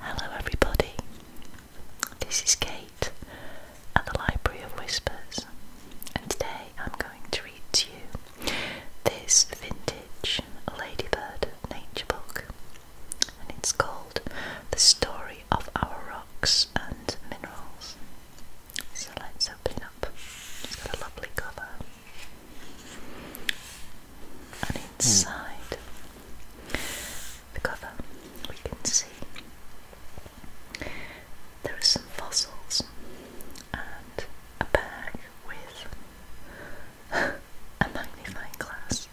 Hello, everybody. This is Kate at the Library of Whispers, and today I'm going to read to you this vintage Ladybird nature book, and it's called The Story of our rocks and minerals. So let's open up. It's got a lovely cover. And hmm. inside the cover, we can see there are some fossils and a bag with a magnifying glass,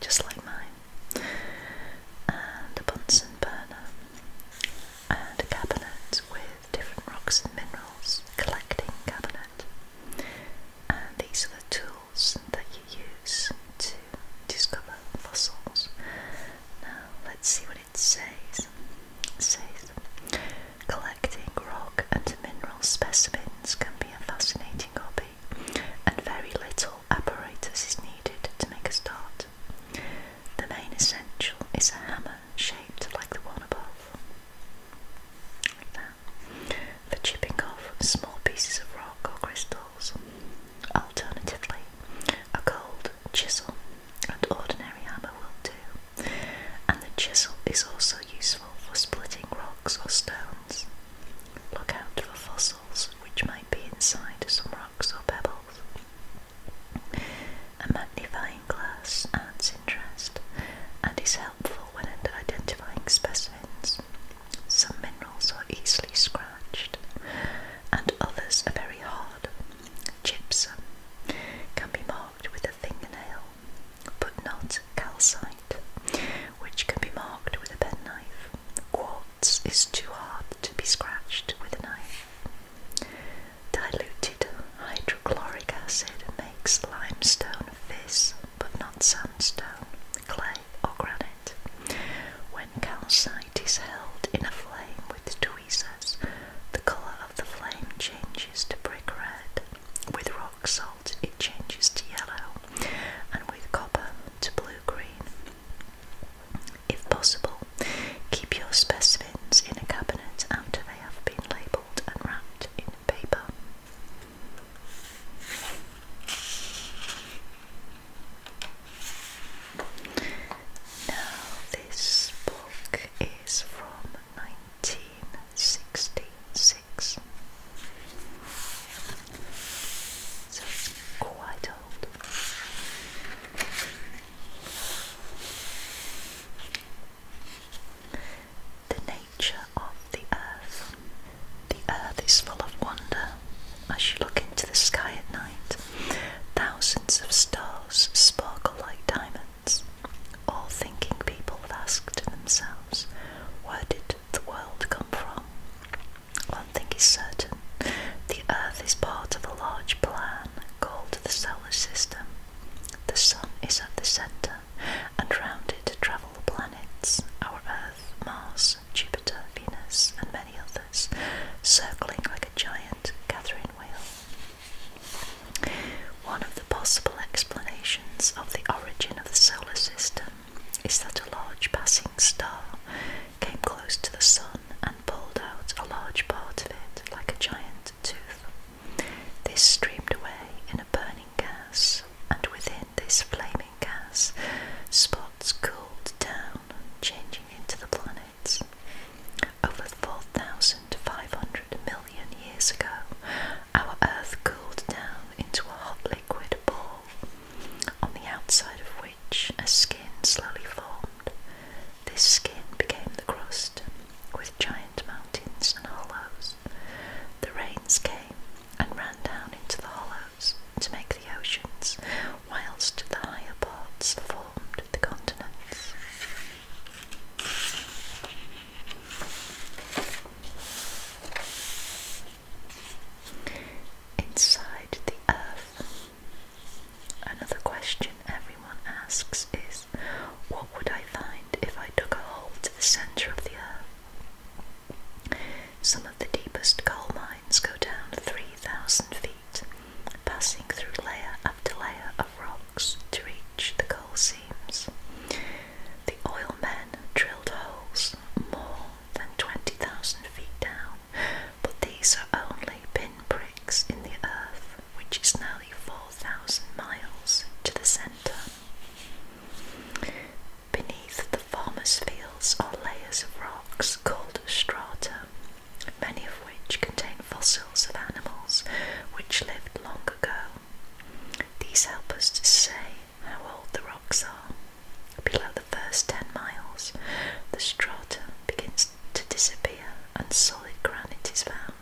just like mine and a Bunsen burner, and a cabinet with different rocks and minerals, collecting cabinet. And these are the tools that you use to discover fossils. Now let's see what it says. It says collecting rock and mineral specimens can be a fascinating hobby and very little apparatus is needed to make a start. The main essential is a hammer shaped like the one above, like for chipping off small pieces of rock or crystals. Alternatively, a cold chisel and ordinary hammer will do, and the chisel is also useful for splitting rocks or stones. Look out for fossils which might be inside some rocks or pebbles. A magnifying glass adds interest and is helpful when identifying specimens. Some minerals are easily scratched and others are very hard. Gypsum can be marked with a fingernail, but not calcite, which can be marked with a penknife. Quartz nuts is too hard to be scratched with a knife. Diluted hydrochloric acid makes limestone fizz, but not sandstone, clay, or granite. When calcite is held in a flame with tweezers, the colour of the flame changes to brick red. With rock salt, it changes to yellow, and with copper to blue green. If possible, keep your specimens in a cabinet after they have been labelled and wrapped in paper. Now, this book is from 1966, so it's quite the nature of the earth. The earth is full of wonder. As you look into the sky at night, thousands of stars sparkle like diamonds. All thinking people have asked themselves, where did the world come from? One thing is certain the Earth is part of a large plan called the solar system. The Sun is at the centre, and round it travel the planets our Earth, Mars, Jupiter, Venus, and many others, circling like a giant Catherine wheel. One of the possible explanations of the origin of the solar system is that a large passing star came close to the sun and pulled out a large part of it like a giant tooth. This streamed away in a burning gas, and within this flaming gas, spots cooled down, changing into the planets. Over 4,500 million years ago, our Earth cooled down into a hot liquid ball on the outside of which a skin slowly formed. This skin became the crust, with giant mountains and hollows. The rains came and ran down into the hollows to make the oceans, whilst the higher parts formed the continents. Inside the earth, Another question everyone asks is what would I find if I dug a hole to the centre of the earth? Some of the deepest coal mines go down 3,000 feet, passing through layer after layer of rocks to reach the coal seams. The oil men drilled holes more than 20,000 feet down, but these are only pinpricks in the earth, which is nearly 4,000 miles to the centre. Beneath the farmers' fields are layers of rocks called strata, many of which contain fossils of animals which lived long ago. These help us to say how old the rocks are. Below the first 10 miles, the strata begins to disappear and solid granite is found.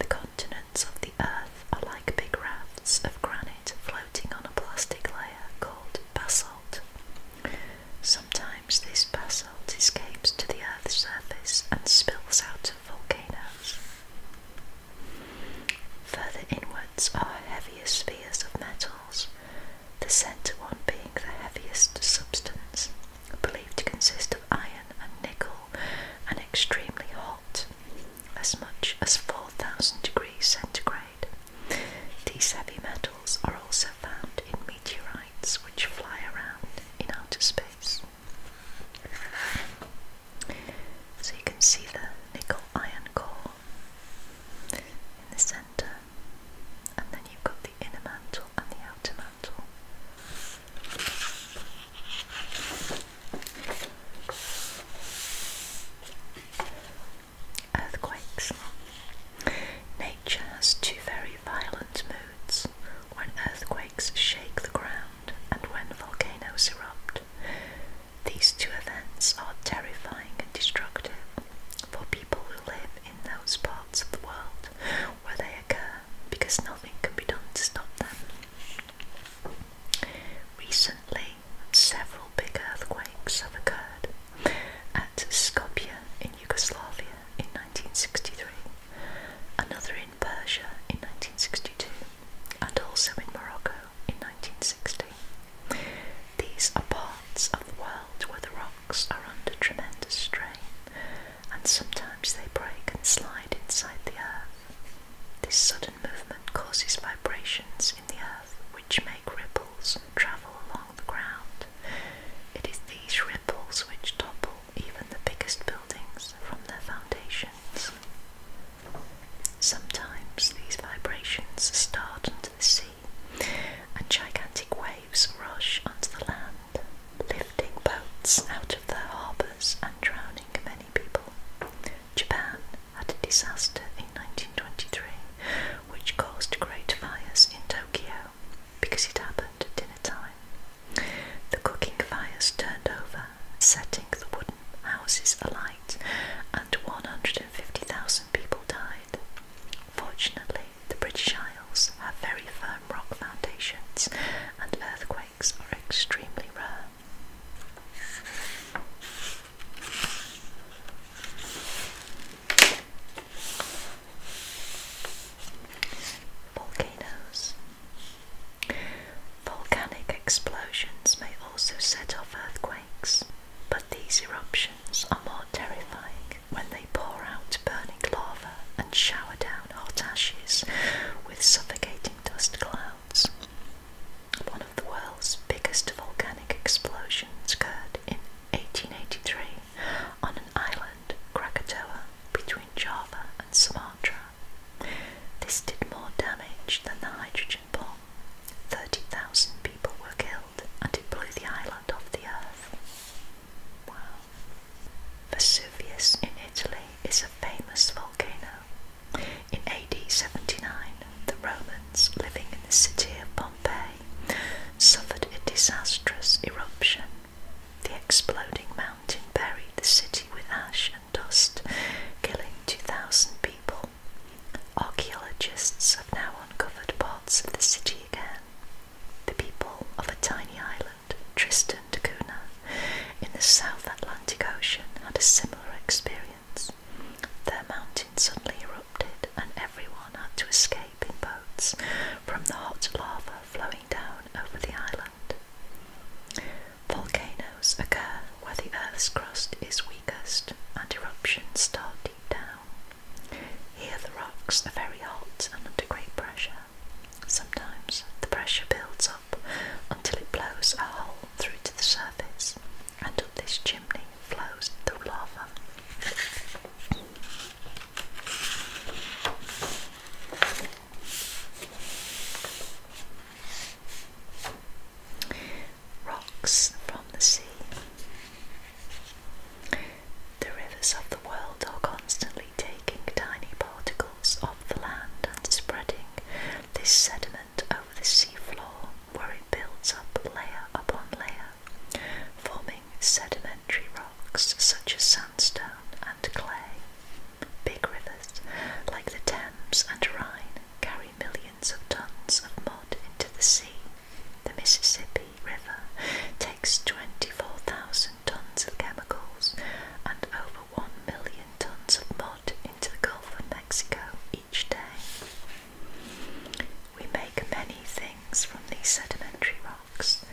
The continents of the earth are like big rafts of granite floating on a plastic layer called basalt. Sometimes this basalt escapes to the earth's surface and spills out of volcanoes. Further inwards are heavier spheres of metals, the centre one being the heaviest substance, believed to consist of iron and nickel, and extremely hot, as much as 4000 degrees centigrade. These heavy metals are also found in meteorites which fly around in outer space. So you can see the nickel iron core in the centre and then you've got the inner mantle and the outer mantle. Earthquakes. Nature has two very violent moods when earthquakes shake the ground and when volcanoes erupt. These two events are terrifying and destructive for people who live in those parts of the world where they occur because nothing can be done to stop them. Recently, several big earthquakes have occurred at Skopje in Yugoslavia in 1963, another in Persia in 1962, and also in Morocco in 1960. These are parts of the world where the rocks are under tremendous strain, and sometimes they break and slide inside the earth. This sudden movement causes vibrations in the earth which make ripples travel along the ground. It is these ripples which topple even the biggest buildings from their foundations. Sometimes these vibrations start under the sea and gigantic waves rush onto the land, lifting boats out of their harbours and drowning many people. Japan had a disaster in 1923 which caused great fires in Tokyo because it happened at dinner time. The cooking fires turned over, setting the wooden houses alight, and 150,000 people died. Fortunately, the British Isles have very firm rock foundations and earthquakes are extremely rare. Volcanoes. Volcanic explosions may also set off earthquakes, but these eruptions are more terrifying when they pour out burning lava and shower down hot ashes with suffocating dust clouds. One of the world's biggest volcanic explosions occurred in 1883 on an island, Krakatoa, between Java and Sumatra. This did more damage than the hydrogen bomb. 30,000 people were killed and it blew the island off the earth. Vesuvius in Italy is a famous volcano. In AD 79, the Romans living in the city of Pompeii suffered a disastrous eruption. The exploding mountain buried the city with ash and dust, killing 2,000 people. Archaeologists have now uncovered parts of the city again, the people of a tiny island, Tristan da Cunha, in the South Atlantic Ocean had a similar experience. Their mountain suddenly erupted, and everyone had to escape in boats from the hot lava flowing down over the island. Volcanoes occur where the Earth's crust is weakest and eruptions start deep down. Here the rocks are very hot and under great pressure. Sometimes the pressure builds up until it blows a hole through to the surface, and up this chimney flows the lava. Rocks from the sea. The rivers of the world are constantly taking tiny particles off the land and spreading this sediment over the seafloor where it builds up layer upon layer, forming sedimentary rocks such as sandstone and clay. Big rivers like the Thames and Rhine carry millions of tons of mud into the sea, the Mississippi River takes 24,000 tons of chemicals and over 1 million tons of mud into the Gulf of Mexico each day. We make many things from these sedimentary rocks.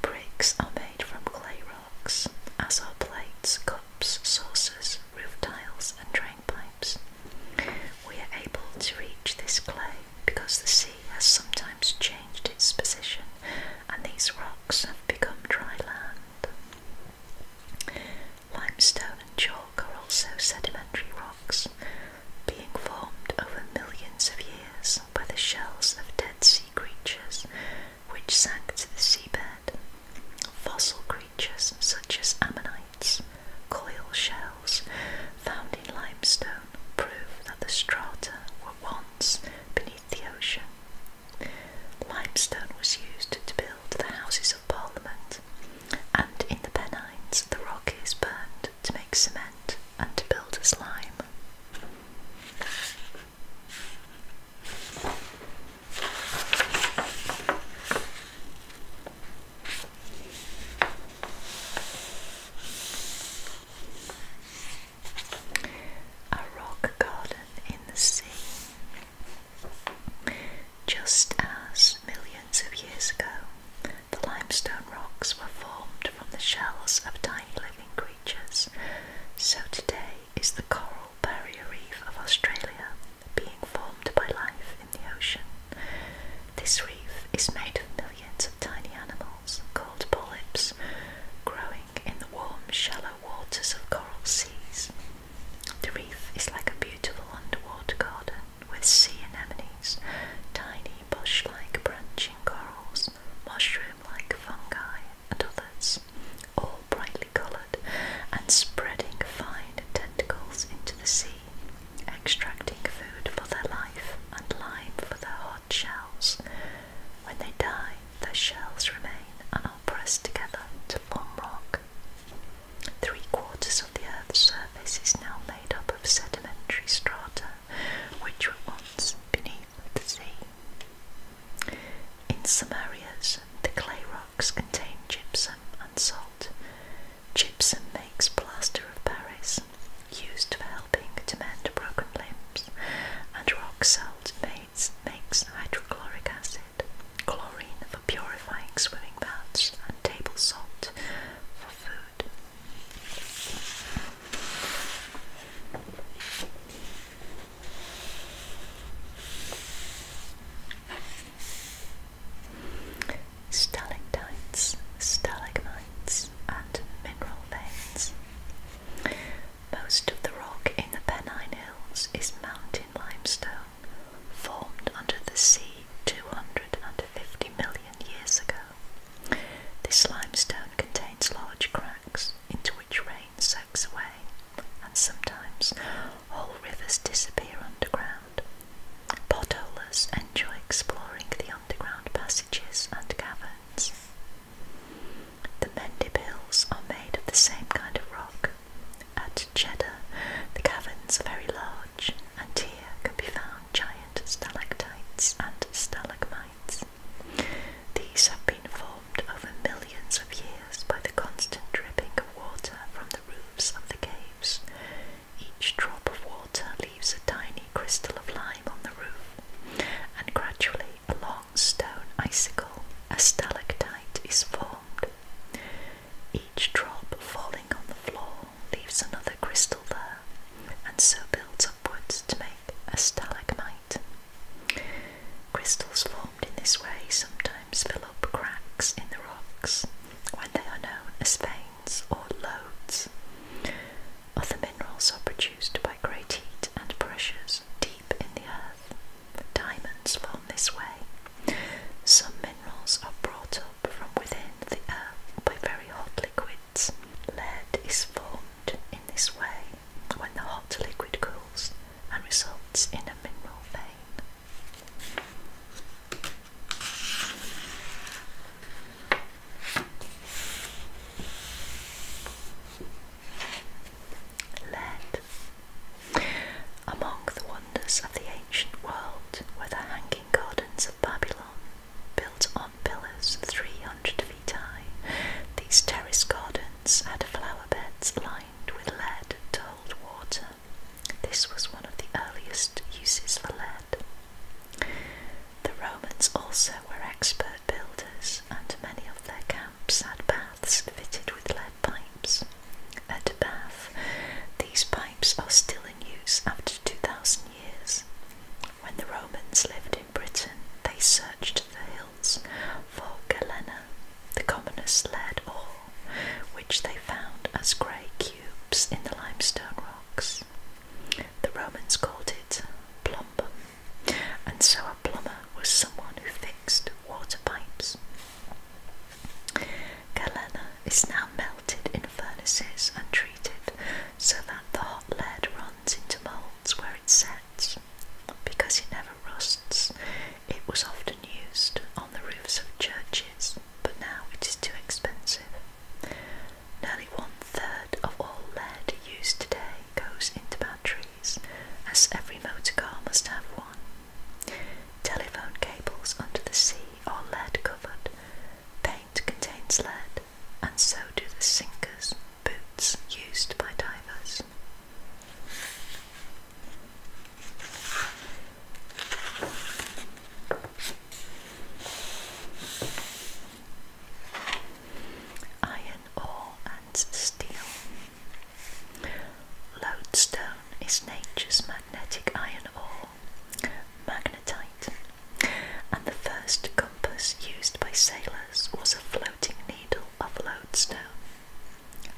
Bricks are made from clay rocks, as are plates, cups, saucers, roof tiles, and drain pipes. We are able to reach this clay because the sea has sometimes changed its position, and these rocks have become dry land. Limestone and chalk are also sedimentary rocks, being formed over millions of years by the shells of dead sea creatures which sank to the seabed. Fossil creatures such as ammonites, coil shells found in limestone prove that the strata were once beneath the ocean. Limestone was used to build the Houses of Parliament, and in the Pennines the rock is burned to make cement and to build a slime. A rock garden in the sea. Just as millions of years ago, the limestone rocks were formed from the shells of tiny living creatures, so today is the coral barrier reef of Australia being formed by life in the ocean. This reef is made of millions of tiny animals called polyps growing in the warm, shallow waters of coral seas. The reef is like a beautiful underwater garden with sea anemones, tiny bush like branching corals, mushroom like fungi, and others, all brightly coloured and spreading fine tentacles into the sea, extracting food for their life and lime for their heart shells. When they die, their shells remain and are pressed together to form rock. Three quarters of the Earth's surface is now made up of sedimentary strata, which were once beneath the sea. In some areas, the clay rocks contain gypsum and salt. Gypsum makes plaster of Paris, used for helping to mend broken limbs, and rock salt makes, makes hydrochloric acid, chlorine for purifying swimming baths, and table salt for food. Stalactites, stalagmites, and mineral most of the rock in the Pennine Hills is mountain limestone formed under the sea 250 million years ago. This limestone contains large cracks into which rain soaks away, and sometimes whole rivers disappear underground. Potholers enjoy exploring the underground passages and caverns. The Mendip Hills are made of the same kind of rock. At Cheddar, the caverns are very large, and here can be found giant stalactites and stalagmites. These have been formed over millions of years by the constant dripping of water from the roofs of the caves. Each drop of water leaves a tiny crystal of lime on the roof, and gradually a long stone icicle, a stalactite, is formed. Each drop falling on the floor leaves another crystal there, and so builds upwards to make a stalagmite. Crystals formed in this way sometimes fill up cracks in the rocks when they are known as veins or lodes. Other minerals are produced by by great heat and pressures deep in the earth. Diamonds form this way. Some minerals are brought up from within the earth by very hot liquids. Lead is formed in this way when the hot liquid cools and results in a mineral vein. Lead. Among the wonders of the ancient world were the hanging gardens of Babylon, built on pillars 300 feet high. These terrace gardens had flower beds lined with lead to hold water. This was one of the earliest uses for lead. The Romans also were expert builders, and many of their camps had baths fitted with lead pipes. At Bath, these pipes are still in use after 2,000 years. When the Romans lived in Britain, they searched the hills for galena, the commonest lead ore, which they found as grey cubes in the limestone rocks. The Romans called it plumbum and so a plumber was someone who fixed water pipes. Galena is now melted in furnaces and treated so that the hot lead runs into moulds where it sets. Because it never rusts, it was often used on the roofs of churches, but now it is too expensive. Nearly one third of all lead used today goes into batteries, as every motor car must have one. Telephone cables under the sea are lead covered, paint contains lead, and so do the sinkers, boots used by divers iron ore and steel. Lodestone is nature's magnetic iron ore, magnetite, and the first compass used by sailors was a floating needle of lodestone.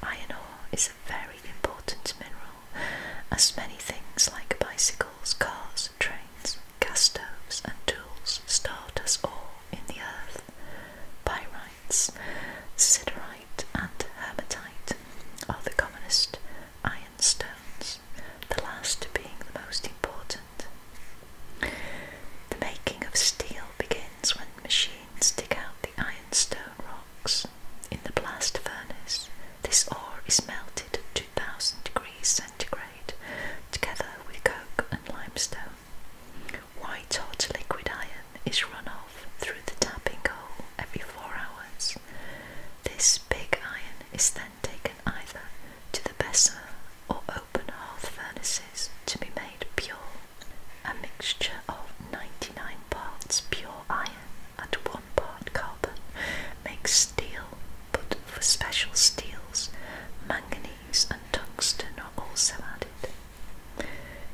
Iron ore is a very important mineral, as many things like bicycles, cars, trains, mines, gas stoves, and tools start us all in the earth, pyrites, siderite, and hematite are the commonest iron stones, the last being the most important. The making of steel begins when machines dig out the ironstone rocks. In the blast furnace, this ore is melted at 2000 degrees centigrade together with coke and limestone. White hot liquid iron is run off through the tapping hole every four hours. This big iron is then taken either to the Bessemer or open hearth furnaces to be made pure. A mixture of 99 parts pure iron and 1 part carbon makes steel, but for special steels, manganese and tungsten are also added.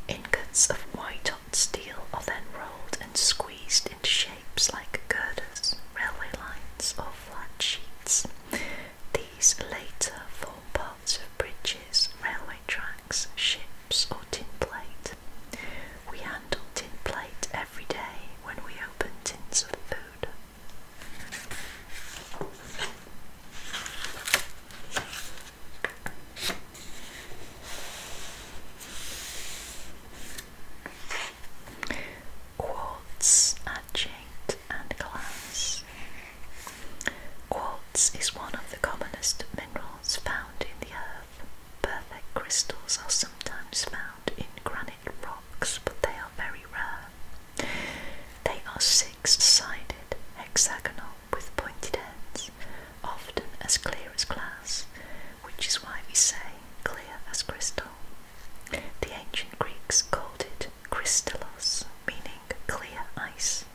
Ingots of white hot steel are then rolled and squeezed into shapes like girders, railway lines, or flat sheets. These later form parts of bridges, railway tracks, ships, or tin plate. We handle tin plate every day when we open tins of food. Quartz, adjunct, and glass. Quartz is one of the commonest minerals found in the earth. Perfect crystals are sometimes found in granite rocks, but they are very rare. They are six-sided, hexagonal with pointed ends, often as clear as glass, which is why we say clear as crystal. The ancient Greeks called it crystallos, meaning clear ice.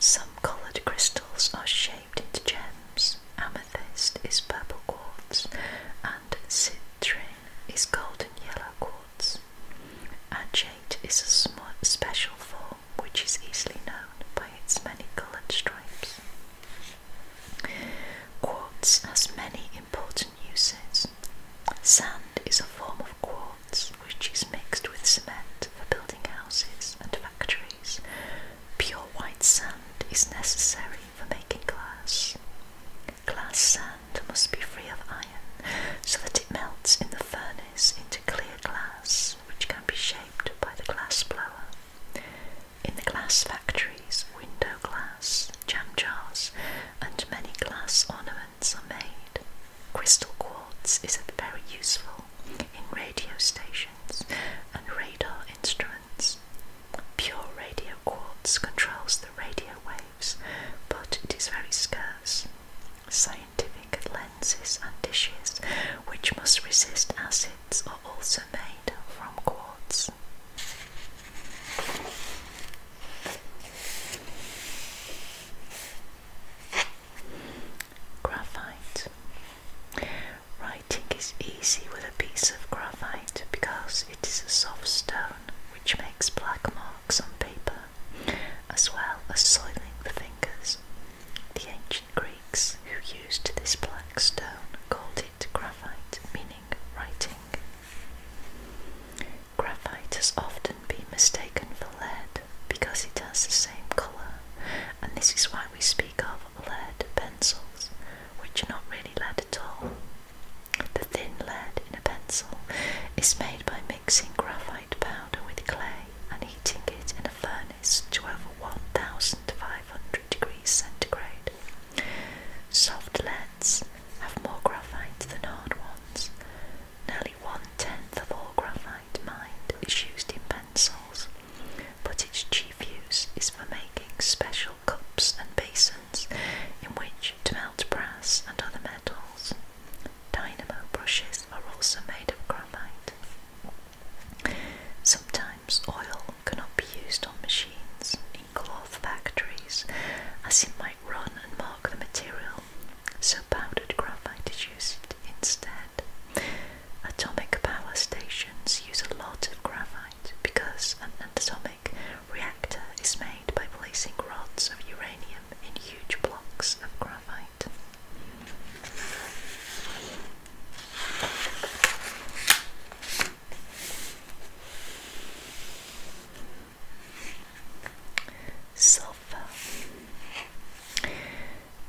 Some coloured crystals are shaped into gems. Amethyst is purple quartz, and citrine is golden yellow quartz. Agate is a special form which is easily known by its many coloured stripes. Quartz has many important uses. Sand is a form of quartz which is mixed with cement for building houses and factories. Pure white sand is necessary for making glass glass sand must be free of iron so that it melts in the furnace into clear glass which can be shaped by the glass blower. In the glass factories, window glass, jam jars, and many glass ornaments are made. Crystal quartz is very useful in radio stations and radar instruments. Pure radio quartz controls the radio but it is very scarce. Scientific lenses and dishes, which must resist acids, are also made from quartz. Graphite. Writing is easy with a piece of graphite because it is a soft stone which makes black marks on paper as well as soiling the fingers. The ancient Greeks, who used this black stone, called it graphite, meaning writing. Graphite has often been mistaken for lead because it has the same colour, and this is why we speak of lead pencils, which are not really lead at all. The thin lead in a pencil is made by mixing graphite powder with clay and heating it in a furnace to over 1500 degrees centigrade. Soft leads have more graphite than hard ones. Nearly one tenth of all graphite mined is used in pencils, but its chief use is for making special cups and basins in which to melt brass and other metals. Dynamo brushes are also made of graphite. Sometimes oil cannot be used on machines in cloth factories as it might run and mark the material, so powdered graphite is used instead. Atomic power stations use a lot of graphite because an atomic reactor is made by placing rods of uranium in huge blocks of graphite. Sulfur.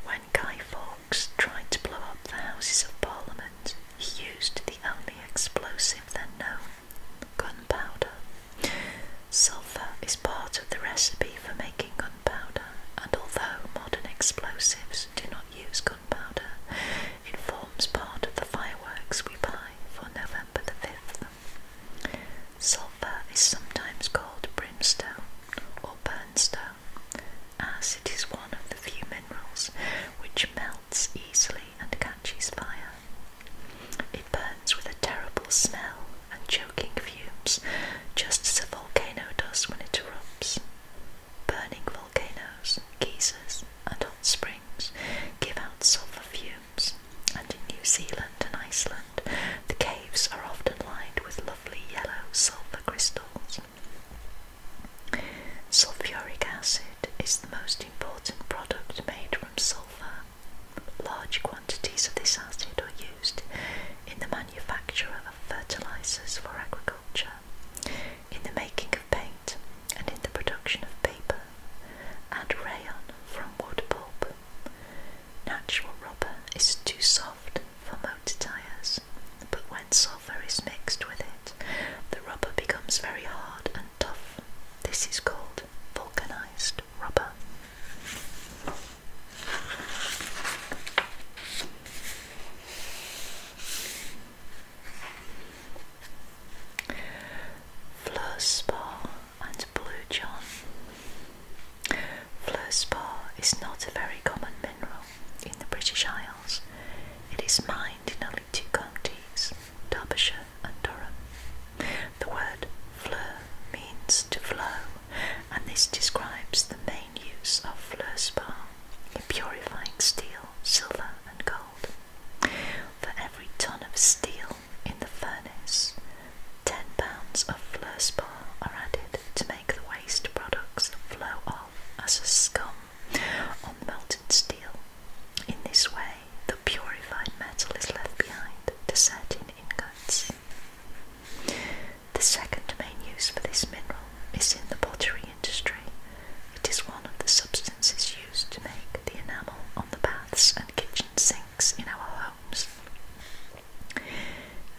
When Guy Fawkes tried to blow up the Houses of Parliament, he used the only explosive then known, gunpowder. Sulfur is part of the recipe for making gunpowder, and although modern explosives do not use gunpowder, it forms part of the fireworks we buy for November the 5th. Sulfur is sometimes called brimstone or stone, as it is one of the few minerals which melts easily and catches fire. It burns with a terrible smell and choking fumes, just as a volcano does when it erupts. Burning volcanoes, geysers, and hot springs give out sulphur fumes, and in New Zealand and Iceland, the caves are often lined with lovely yellow sulphur crystals. Sulphuric acid is the most important product made from sulphur. Large quantities of this acid are used in the manufacture of fertilizers for agriculture, in the making of paint, and in the production of paper and rayon from wood pulp. Natural rubber is too soft for motor tires, but when sulfur is mixed with it, the rubber becomes very hard and tough. This is called vulcanized just rubber. and Blue John. Fleur is not a very common mineral in the British Isles. It is mined in only two counties, Derbyshire and The word fleur means to flow, and this describes the main use of fleur spar in purifying steel, silver, and gold. For every ton of steel in the furnace, 10 pounds of fleur spar are added to make the waste products flow off as a scum on melted steel. In this way, the purified metal is left behind to set in the second main use for this mineral is in the pottery industry. It is one of the substances used to make the enamel on the baths and kitchen sinks in our homes.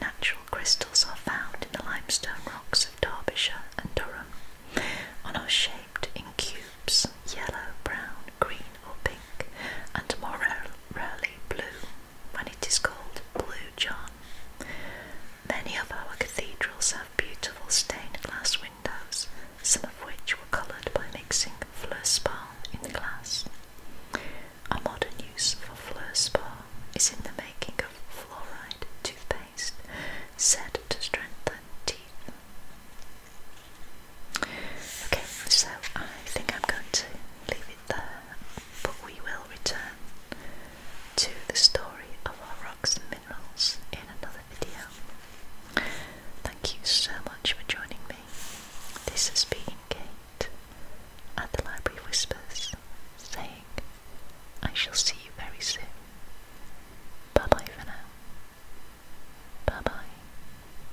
Natural crystals are found in the limestone rocks of Derbyshire and Durham and are shaped in cubes, yellow, brown, green, or pink and more rarely blue when it is called Blue John. Many of our cathedrals have beautiful stained glass windows, some of which were coloured by mixing fluor spar in the glass. A modern use for fluor spar is in the making of fluoride toothpaste, said to strengthen teeth. Okay, so I think I'm going to leave it there, but we will return to the story of our rocks and minerals in another video. Thank you so much for joining me. This has been Kate at the Library Whispers saying, I shall see you very soon. Bye bye for now. Bye bye.